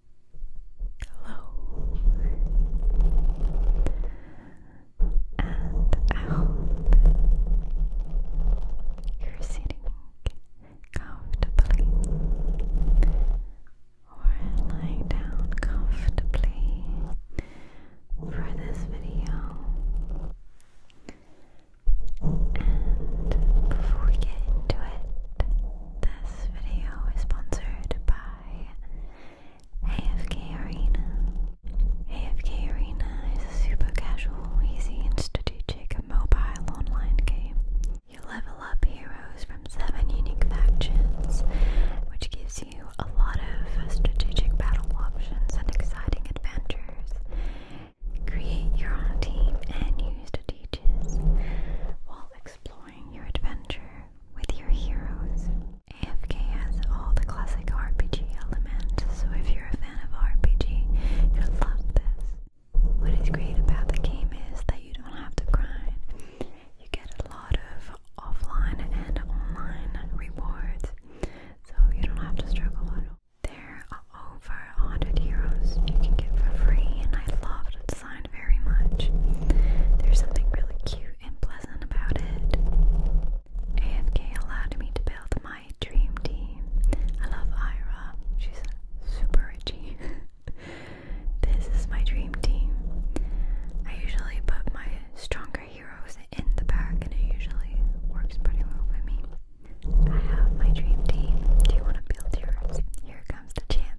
Hello and I hope you're sitting comfortably or lying down comfortably for this video. And before we get into it, this video is sponsored by AFK Arena. AFK Arena is a super casual, easy, and strategic mobile online game. You level up heroes from seven unique factions, which gives you a lot of strategic battle options and exciting adventures. Create your own team and use strategies while exploring your adventure with your heroes. AFK has all the classic RPG elements, so if you're a fan of RPG, you'll love this. What is great about the game is that you don't have to grind. You get a lot of offline and online rewards, so you don't have to struggle There are over 100 heroes you can get for free, and I love the design very much. There's something really cute and pleasant about it. AFK allowed me to build my dream team. I love Ira. She's super itchy. this is my dream team. I usually put my stronger heroes in the back and it usually works pretty well for me. I have my dream team. Do you want to build yours? Here comes the chance.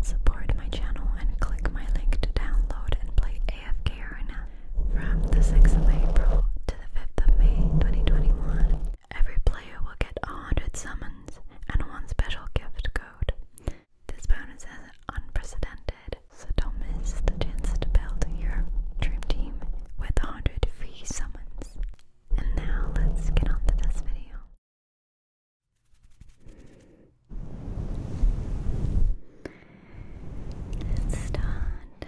Support my channel and click my link to download and play AFK Arena from the 6th of April to the 5th of May 2021. Every player will get 100 summons and one special gift code. This bonus is unprecedented, so don't miss the chance to build your dream team with 100 free summons. And now let's get on to this video. Let's start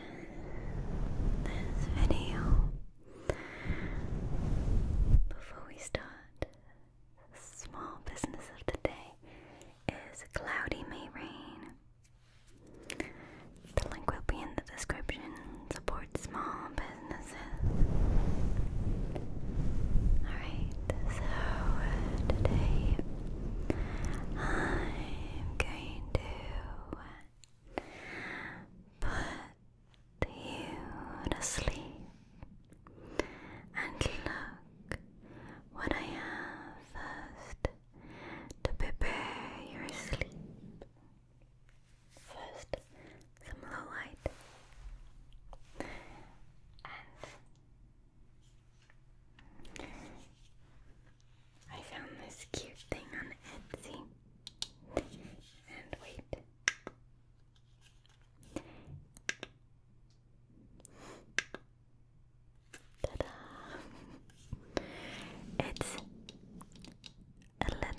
this video. Before we start, small business of the day is cloudy may rain. The link will be in the description. Support small business all right. So today I'm going to put you to sleep and look what I have first to prepare your sleep. First, some low light, and I found this cute thing on Etsy. And wait. Ta-da! It's a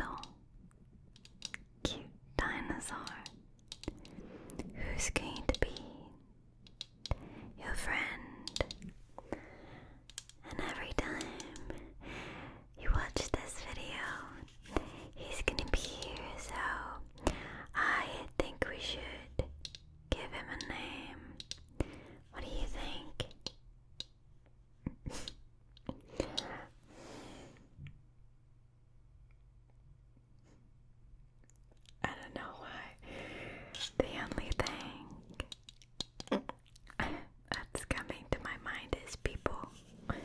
little cute dinosaur Who's going to be your friend? And every time you watch this video, he's gonna be here, so I think we should give him a name. What do you think? I don't know why. The only thing that's coming to my mind is people. all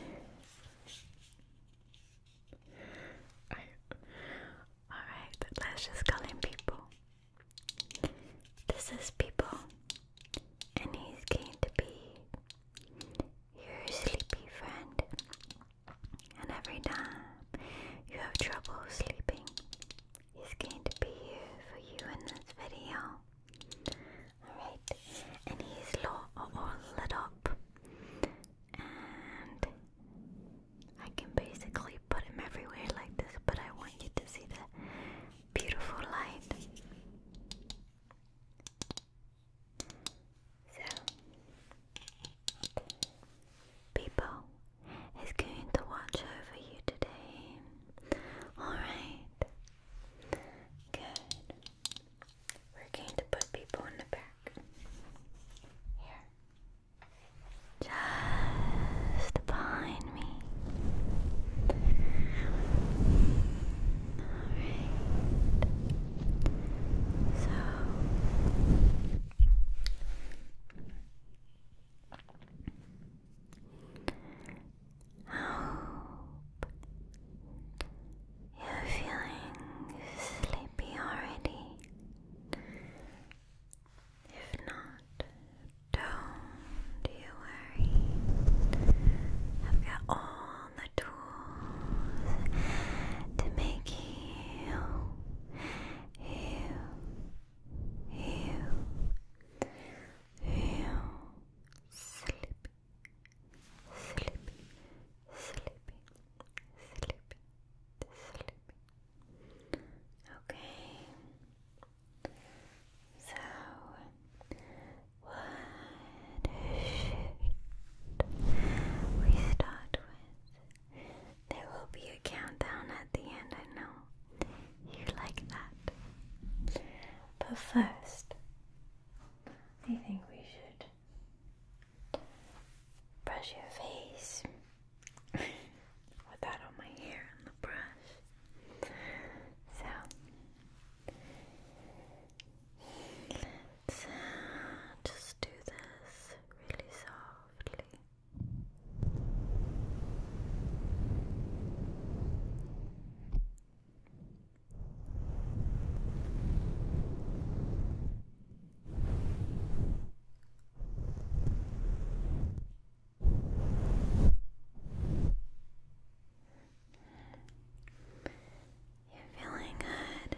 right, let's just call him people. This is people, and he's going to be your sleepy friend. And every time you have trouble sleeping, he's going to be here for you in this video. Alright, and he's all, lit up. And I can basically put him everywhere like this, but I want you to see the beautiful light. So, people is going to watch over you today. Alright. Good. We're going to put people in the back. Here. Just behind me. Alright. So hope you're feeling sleepy already. If not, don't you worry. I've got all all the tools to make you, you, you, you sleepy, sleepy, sleepy, sleepy, sleepy. Okay. So, what we start with? There will be a countdown at the end, I know. You like that. But first, I think we should brush your face. With that on my hair and the brush. So let just do this really softly. You're feeling good.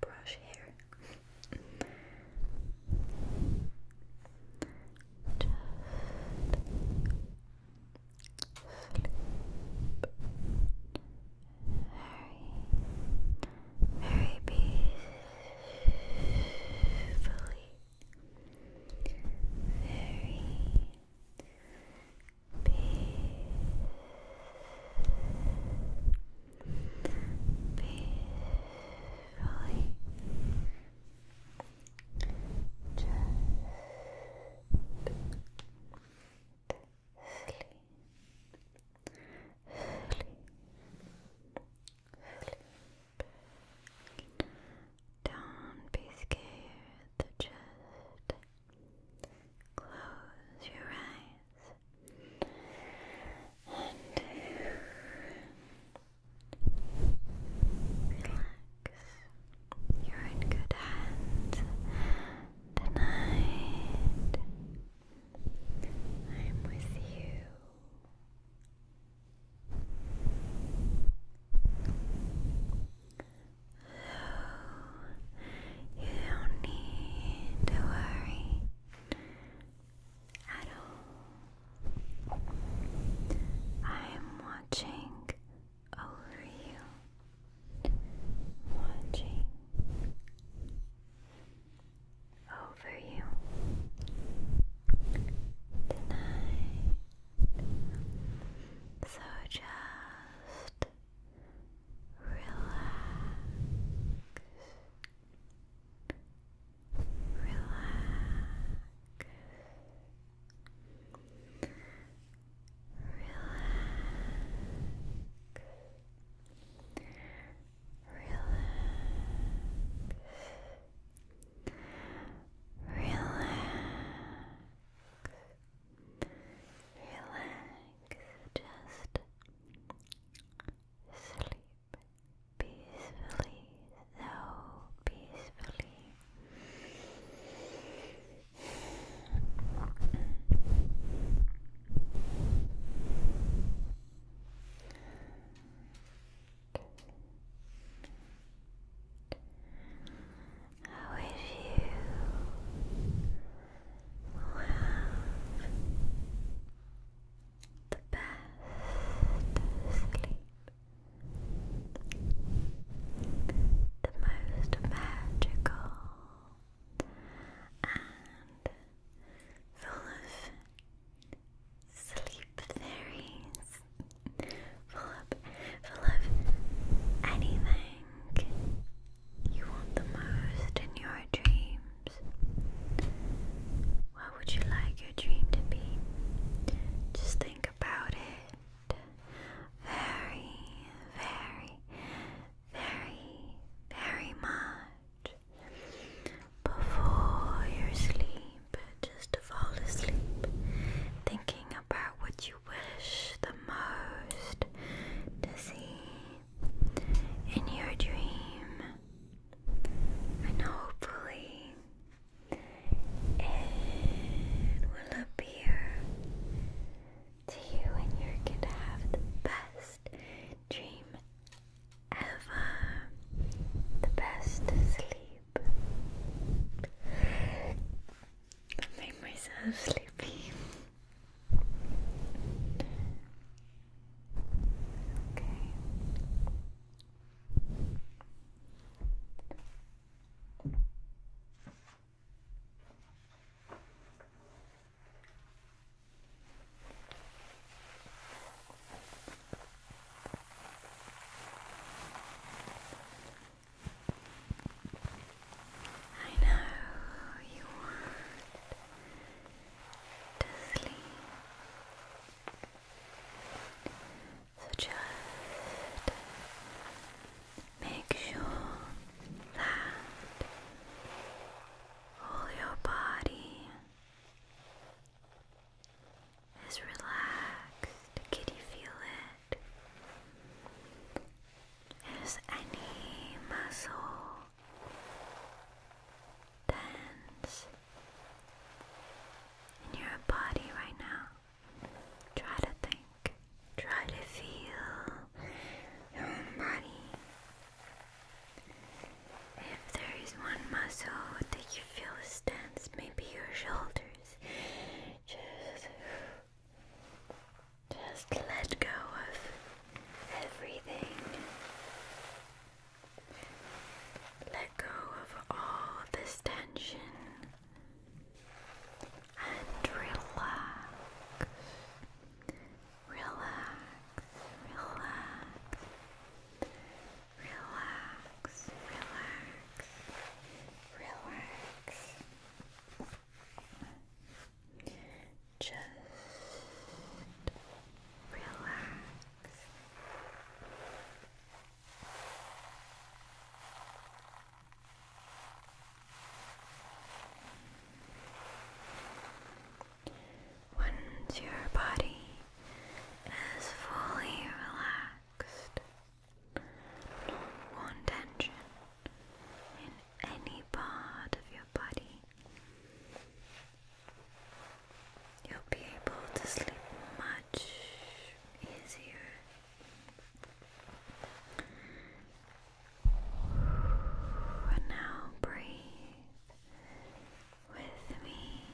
brush hair very, very peacefully very peacefully just sleep, sleep, don't be scared, just close your eyes and relax. You're in good hands tonight. I'm with you. So, you don't need to worry at all. I am watching over you, watching over you tonight. So just relax. Relax. Relax. Relax relax, just sleep peacefully, so peacefully. I wish you have the best sleep, the most magical and full of Sleep fairies. Full of, full of anything you want the most in your dreams. What would you like your dream to be? Just think about it very, very, very, very much before your sleep just to fall asleep, thinking about what you wish the most to see in your dream, and hopefully it will appear to you, and you're gonna have the best dream ever, the best sleep. I make myself sleepy. Okay. I know you want to sleep. So just make sure that all your body is relaxed. Can you feel it? Is any muscle tense in your body right now? Try to think. Try to feel your body. If there is one muscle that you feel is tense, maybe your shoulders. Just, just let go of everything. Let go of all this tension and relax. Relax, relax, Relax, relax, relax. Just relax. Once your body is fully relaxed relaxed. tension in any part of your body. You'll be able to sleep much easier. now breathe with me.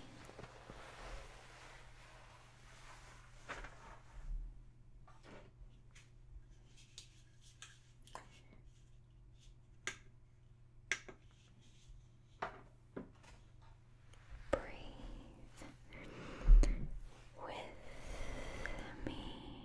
Breathe with me.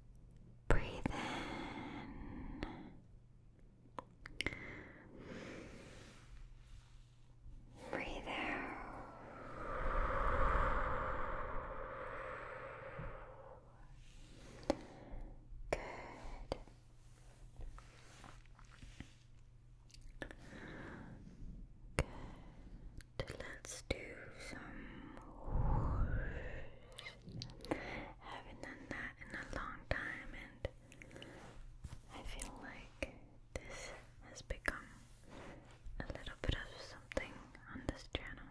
Breathe in. Breathe out. Good. Good let's do some whoosh. I haven't done that in a long time, and I feel like this has become a little bit of something on this channel.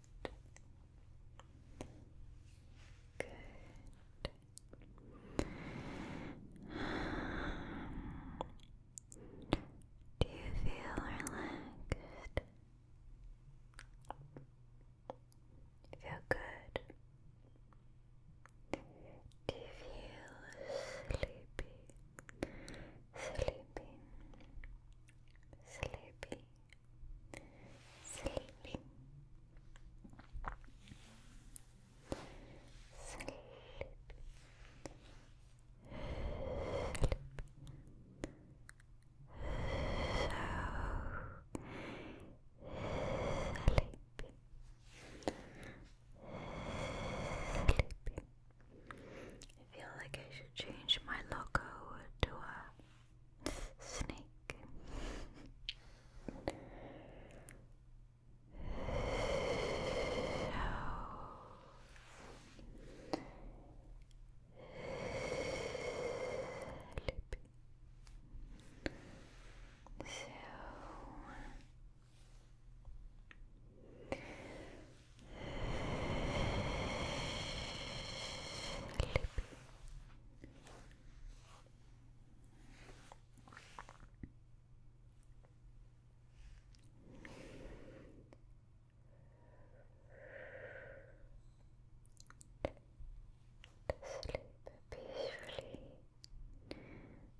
Good. Do you feel relaxed? feel good? Do you feel sleepy? Sleepy sleepy, sleepy, sleepy, sleepy. So sleepy. Sleepy, I feel like I should change my logo to a snake. so sleep peacefully.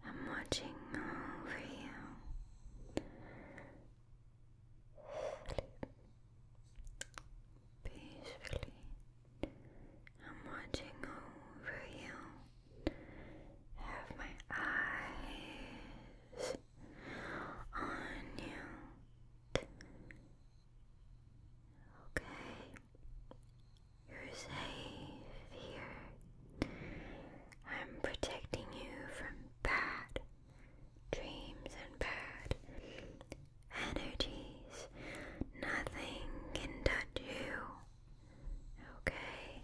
I'm watching over you. Sleep peacefully. I'm watching over you. Have my eyes on you. Okay, you're safe here. I'm protecting you from bad dreams and bad energies. Nothing can touch you. Okay?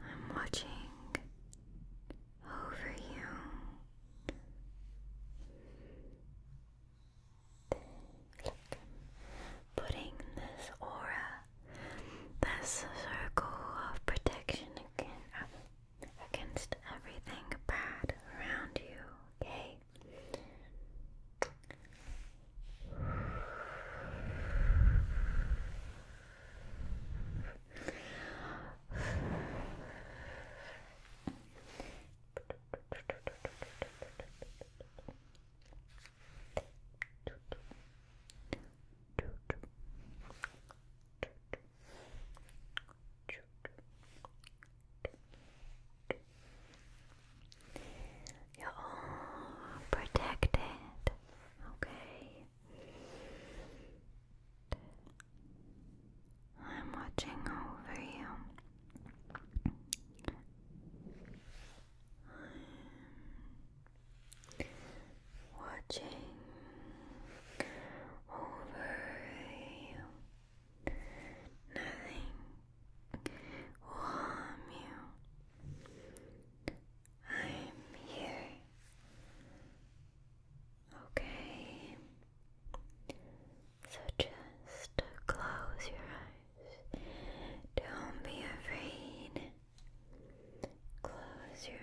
I'm watching over you. putting this aura, this circle of protection again, against everything bad around you, okay? You're protected, okay? I'm watching over you watching over you. Nothing will harm you. I'm here. Okay. So just close your eyes. Don't be afraid. Close your eyes.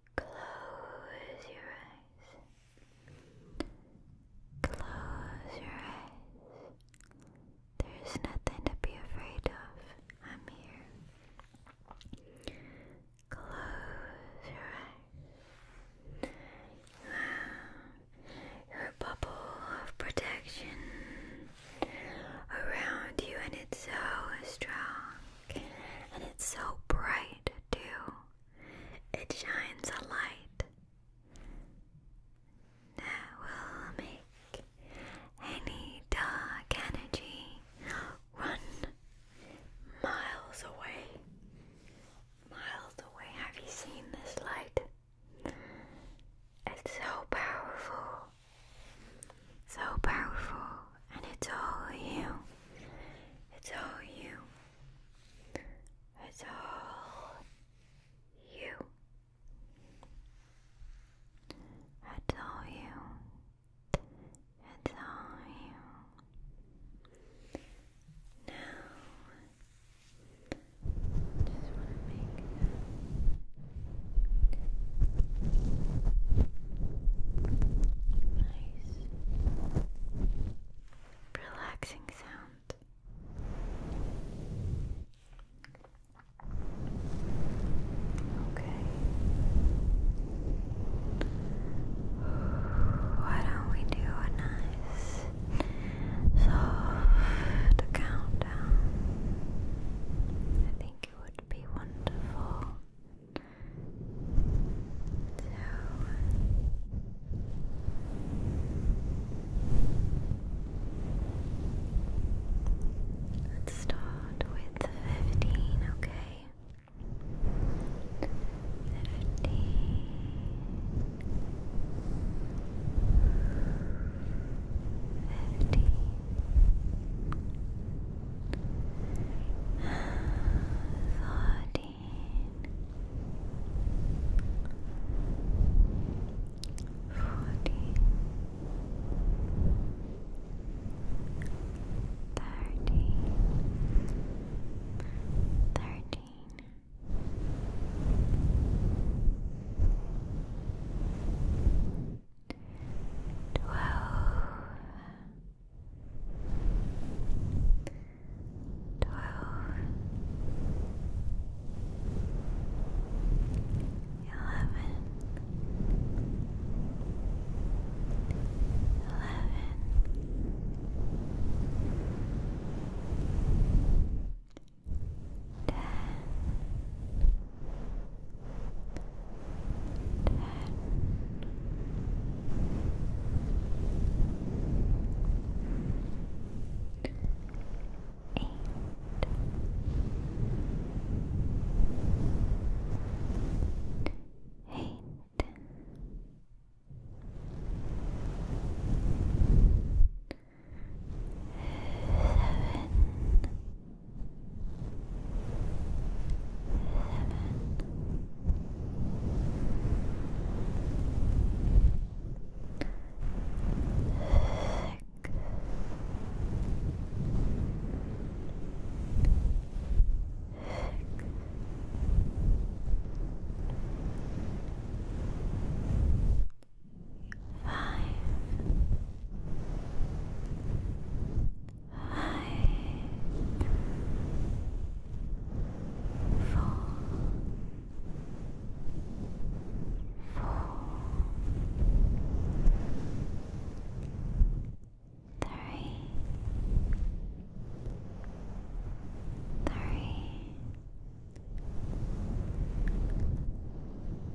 Close your eyes. Close your eyes. There's nothing to be afraid of. I'm here. Close your eyes. Wow. Your bubble of protection around you, and it's so strong and it's so bright, too it shines a light that will make any dark energy run miles away. Miles away. Have you seen this light? It's so powerful. So powerful, and it's all you. It's all you. It's all you. It's all you. It's all you. Now, just want to make that nice relaxing sound. Okay. Why don't we do a nice soft countdown? I think it would be wonderful so let's start with fifteen, okay? Fifteen. 40 Thirty, thirteen, twelve, twelve, eleven, eleven, ten, ten. Nine, Eight. Eight. Seven. Seven. Thick. Thick. Five. Five four, four, three, three,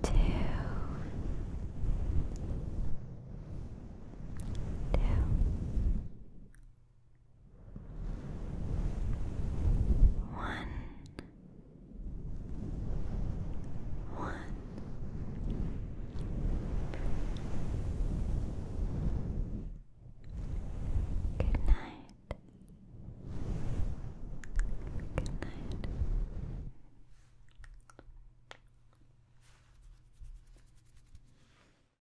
two, two. One, one, good night, good night.